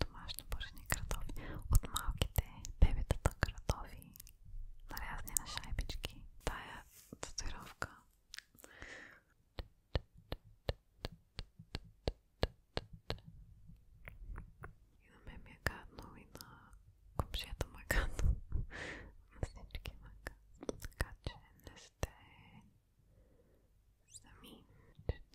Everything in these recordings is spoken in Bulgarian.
домашно пържени картофи, от малките бебетата картофи, нарязани на шайбички. Тая татуировка. И на мен ми е гадно, и на комшията ме е гадно, на всички ме е гадно. Така че не сте сами. 40.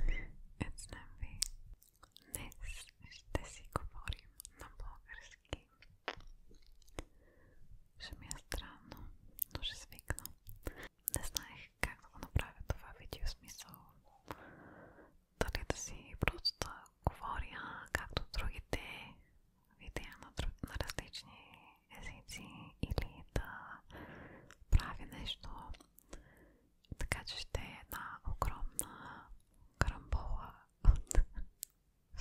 Önemli. Днес ще си говорим на български. Ще ми е странно, но ще свикна. Не знаех как да го направя това видео смисъл. Дали да си просто да говоря, както другите видеа или да правя нещо така че ще е една огромна карамбола от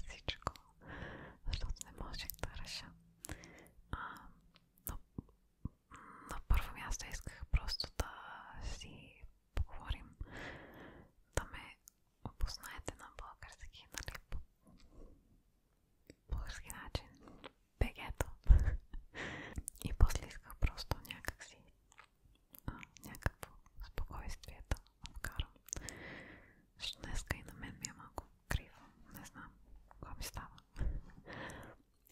всичко, защото не можех да реша. А, но, на първо място исках просто да си поговорим, да ме опознаете на български, нали, по български начин бегето. И после исках просто някакси а, някакво спокойствие да вкарам. Защото днеска и на мен ми е малко криво. Не знам какво ми става.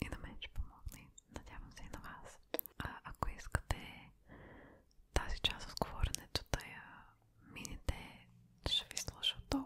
И на мен ще помогне. Надявам се и на вас. А, ако искате тази част от говоренето да я минете, ще ви сложа долу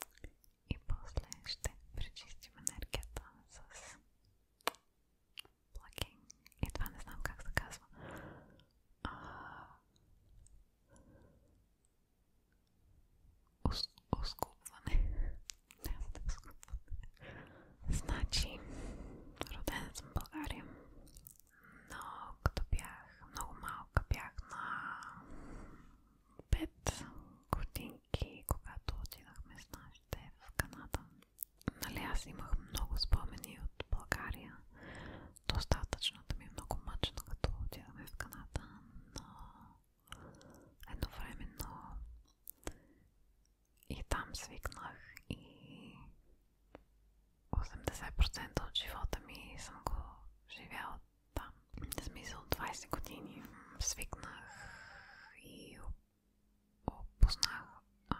тук. И после ще пречистим енергията с плакинг. И това не знам как се казва. А... Ос... Оскупване. Не, оскупване. Значи, родена съм в България. Но като бях много малка, бях на пет годинки, когато отидахме с нашите в Канада. Нали, аз имах много спомени от България. Достатъчно да ми е много мъчно, като отидахме в Канада, но едновременно и там свикнах и 80% от живота ми съм го живяла да. В смисъл 20 години свикнах и опознах а,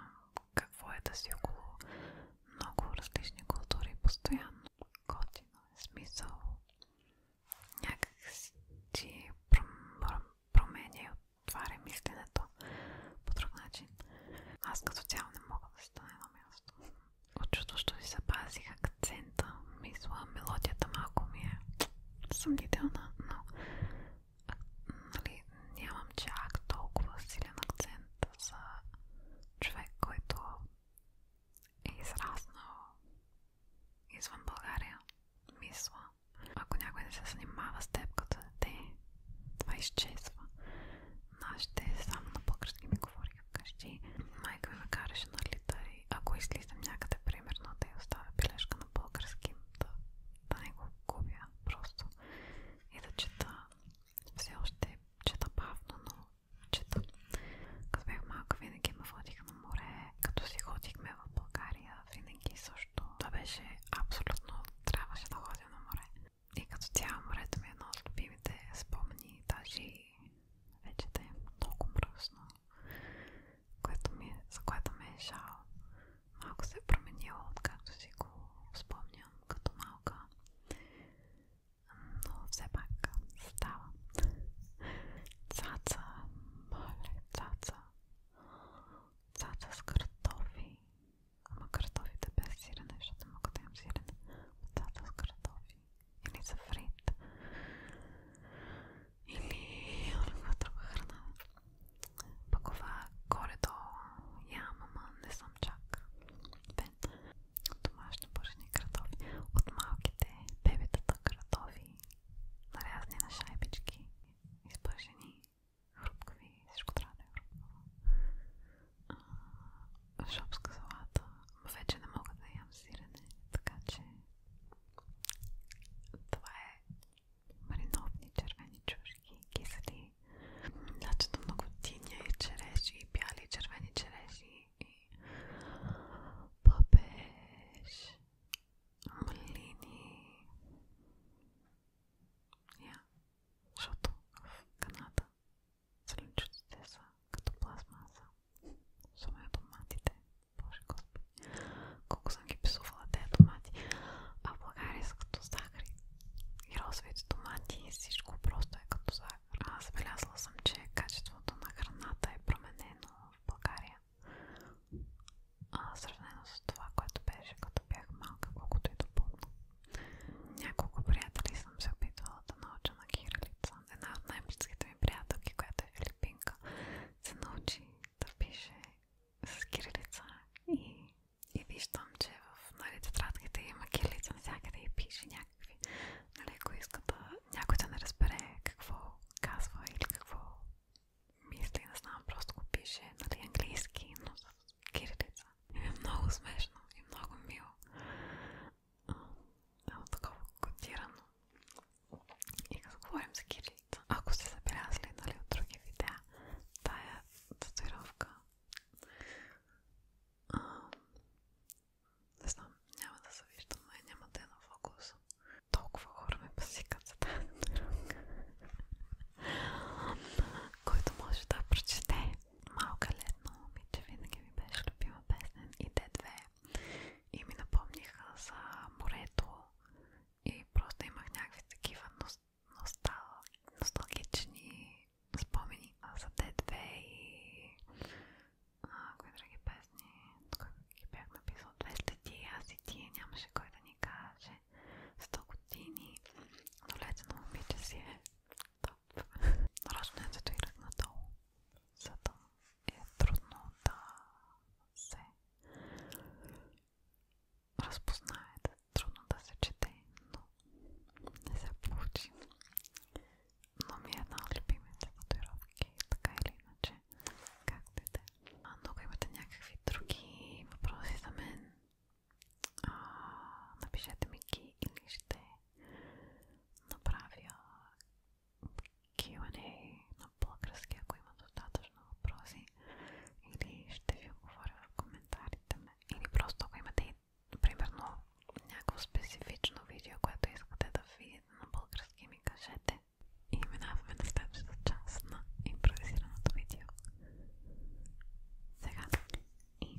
какво е да си около много различни култури постоянно. Готино е смисъл. Някак си променя и отваря мисленето по друг начин. Аз като цяло не мога да стана едно място. Очудващо си запазих акцента. Мисля, мелодията малко ми е съмнителна, но а, нали, толкова силен акцент за човек, който е израснал извън България. Ако някой не се занимава с теб като дете, това изчезва. Нашите е само на български ми говори вкъщи, майка ме караше на лита и ако излизам някъде, примерно, да я оставя бележка на български, да, да не го губя просто и да чета. Все още чета бавно, но чета. Като бях малка, винаги ме водих на море, като си ходихме в България, винаги също. Това беше абсолютно, трябваше да ходя на море. И като цяло морето ми е едно от любимите спомени, даже и вече да е много мръсно, което ми, за което ме е жал. Малко се е променила, откакто си го спомням като малка. Но все пак става. Цаца, моля, цаца. Цаца с картофи. Ама картофите без сирене, защото не мога да имам сирене. Цаца с картофи или за вред, или някаква друга храна. Пък ова горе-долу ям, ама не съм чак бен. Домашно пържени картофи. От малките бебетата картофи, нарязани на шайбички, изпържени, хрупкави, всичко трябва да е хрупкаво шопска салата. Вече не мога да ям сирене, така че това е мариновни червени чушки, кисели. Значито много тиня и череши, бяли червени череши и папеж, малини. Я, yeah. защото в Канада Слънчуците са като пластмаса. Особено доматите. Боже господи. Колко съм ги писувала тези домати. А в България са като захари. И розовите домати и всичко просто е като захар. А забелязала съм, че качеството на храната е променено в България. А, сравнено с това, което беше като бях малка, колкото и допълно. Няколко приятели съм се опитвала да науча на кирилица, една от най-близките ми приятелки, която е филипинка, се научи да пише с кирилица и, и виждам, че в нали, тетрадките има кирилица навсякъде и пише някакви. Нали, ако иска да някой да не разбере какво казва или какво мисли, не знам, просто го пише нали, английски, но с кирилица. И е много смешно и много мило едно такова котирано. И като говорим за кирилица, ако сте забелязали нали, от други видеа, тая татуировка, а, не знам, няма да се виждам, но няма да е на фокус. Толкова хора ме пасикат за тази татуировка, който може да прочете малка летна момиче, винаги ми беше любима песен и те две и ми напомниха за морето и просто имах някакви такива ност, ностал, носталгични спомени за Т2 и а, кои други песни, кой ги бях написал 200 ти, аз и ти, нямаше кой да ни каже 100 години, но лето на момиче си е топ. Нарочно е татуирах надолу, за да е трудно да се разпознае, да е трудно да се чете, но не се получи. Но ми е една от любимите татуировки, така или иначе, както и да е. Много имате някакви други въпроси за мен. А, напишете ми ги или ще направя Q&A на български, ако има достатъчно въпроси или ще ви отговоря в коментарите ме. Или просто ако имате и, примерно, някакво специфично видео, което искате да видите на български, ми кажете. И минаваме на следващата част на импровизираното видео. Сега и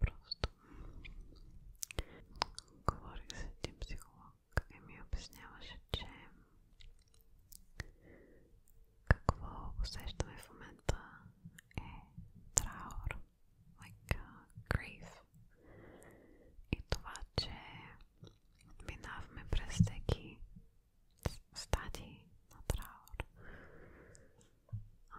Просто говорих с един психолог и ми обясняваше, че какво усещаме в момента е траур, like grief. И това, че минаваме през всеки стадии на траур. А,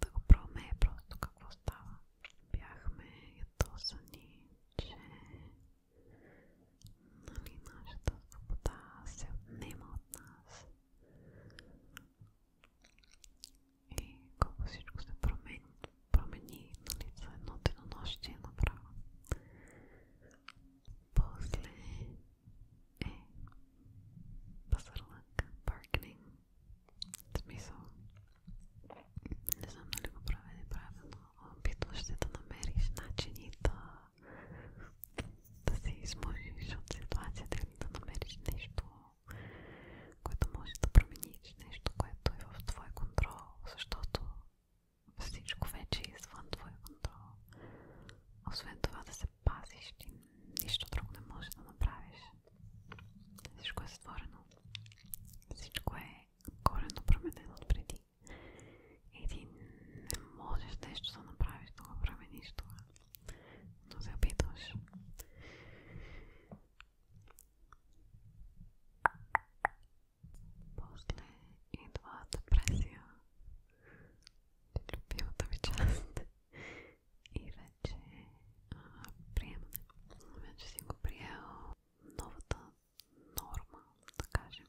да го проме е просто какво става. Бяхме ядосани, че нали, нашата свобода се отнема от нас. И колко всичко се промени, промени нали, за едно денонощие направо. После a е, pazarlık, смисъл. Не знам дали го правя неправилно. Опитваш се да намериш начини да, да се от ситуацията или да намериш нещо, което може да промениш, нещо, което е в твой контрол, защото всичко вече е извън твой контрол. Освен това да се пазиш ти. Нищо друго не можеш да направиш. Всичко е створено. Всичко е коренно променено от преди. И ти не можеш нещо да направиш, да го промениш това. Но се опитваш. После идва депресия. Любимата ви част и вече а, приемане. Вече си го приел новата норма, да кажем.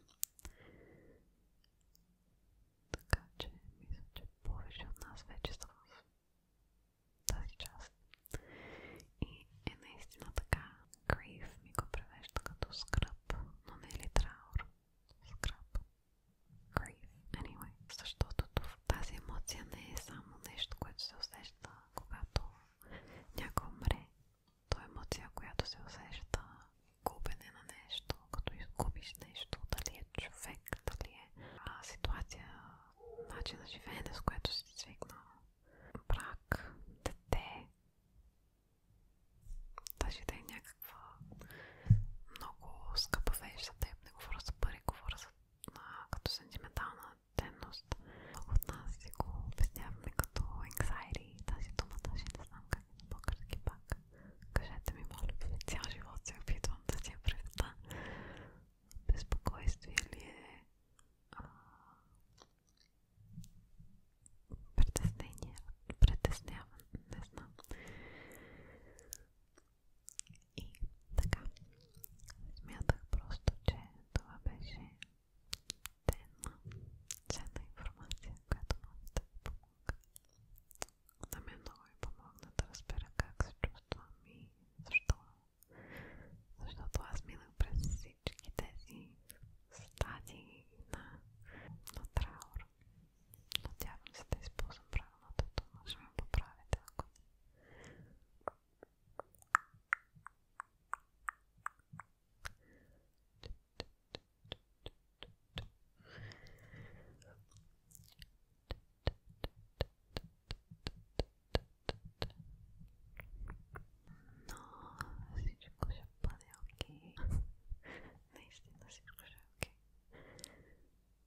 Така че, мисля, че повече от нас вече са в тази част. И е наистина така. Grief ми го превежда като скръп, но не е ли траур скраб. Grief, anyway. Защото тази емоция не е само нещо, което се усеща, когато някой умре. То е емоция, която се усеща губене на нещо, като изгубиш нещо, дали е човек, дали е а, ситуация, начин на живеене, с което си свикнал. Брак, дете, даже да е някакъв някаква много скъпа вещ за теб. Не говоря за пари, говоря за а, като сентиментална ценност. Много от нас си го обясняваме като anxiety. Тази дума даже не знам как е на български пак. Кажете ми, моля ви, цял живот се опитвам да си я преведа. Безпокойствие ли е? А, притеснение, притесняване, не знам. И така. Смятах просто, че това беше ценна, ценна информация, която може да ви помогна. На мен много ми помогна да разбера как се чувствам и защо. Защото аз минах през всички тези стадии на, на траур. Надявам се да използвам правилната дума, ще ме поправите ако но всичко ще бъде окей. Наистина всичко ще е окей.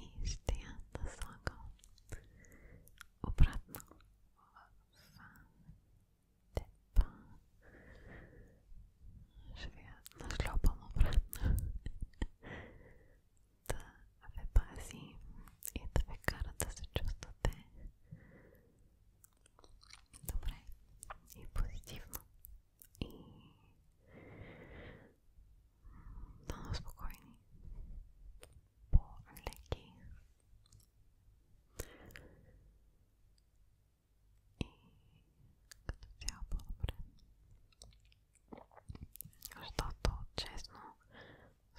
и ще я наслагам обратно в тепа. Ще я нашлепам обратно. да ве пази и да ви кара да се чувствате добре и позитивно. И Będą spokojni, bo leki i kondycja dobre. Что тут, честно,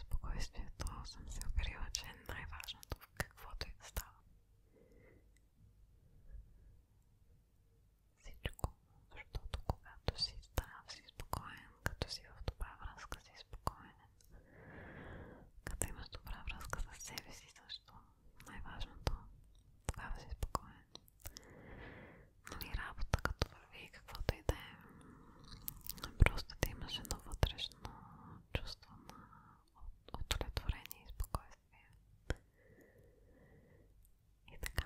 спокойствие, то съм се уверила, че е най-важното в каквото и да става всичко, защото когато си здрав, си спокоен, като си в добра връзка, си спокоен, като имаш добра връзка с себе си също, най-важното, тогава си спокоен. Нали, работа като върви, каквото и да е, просто да имаш едно вътрешно чувство на удовлетворение и спокойствие. И така.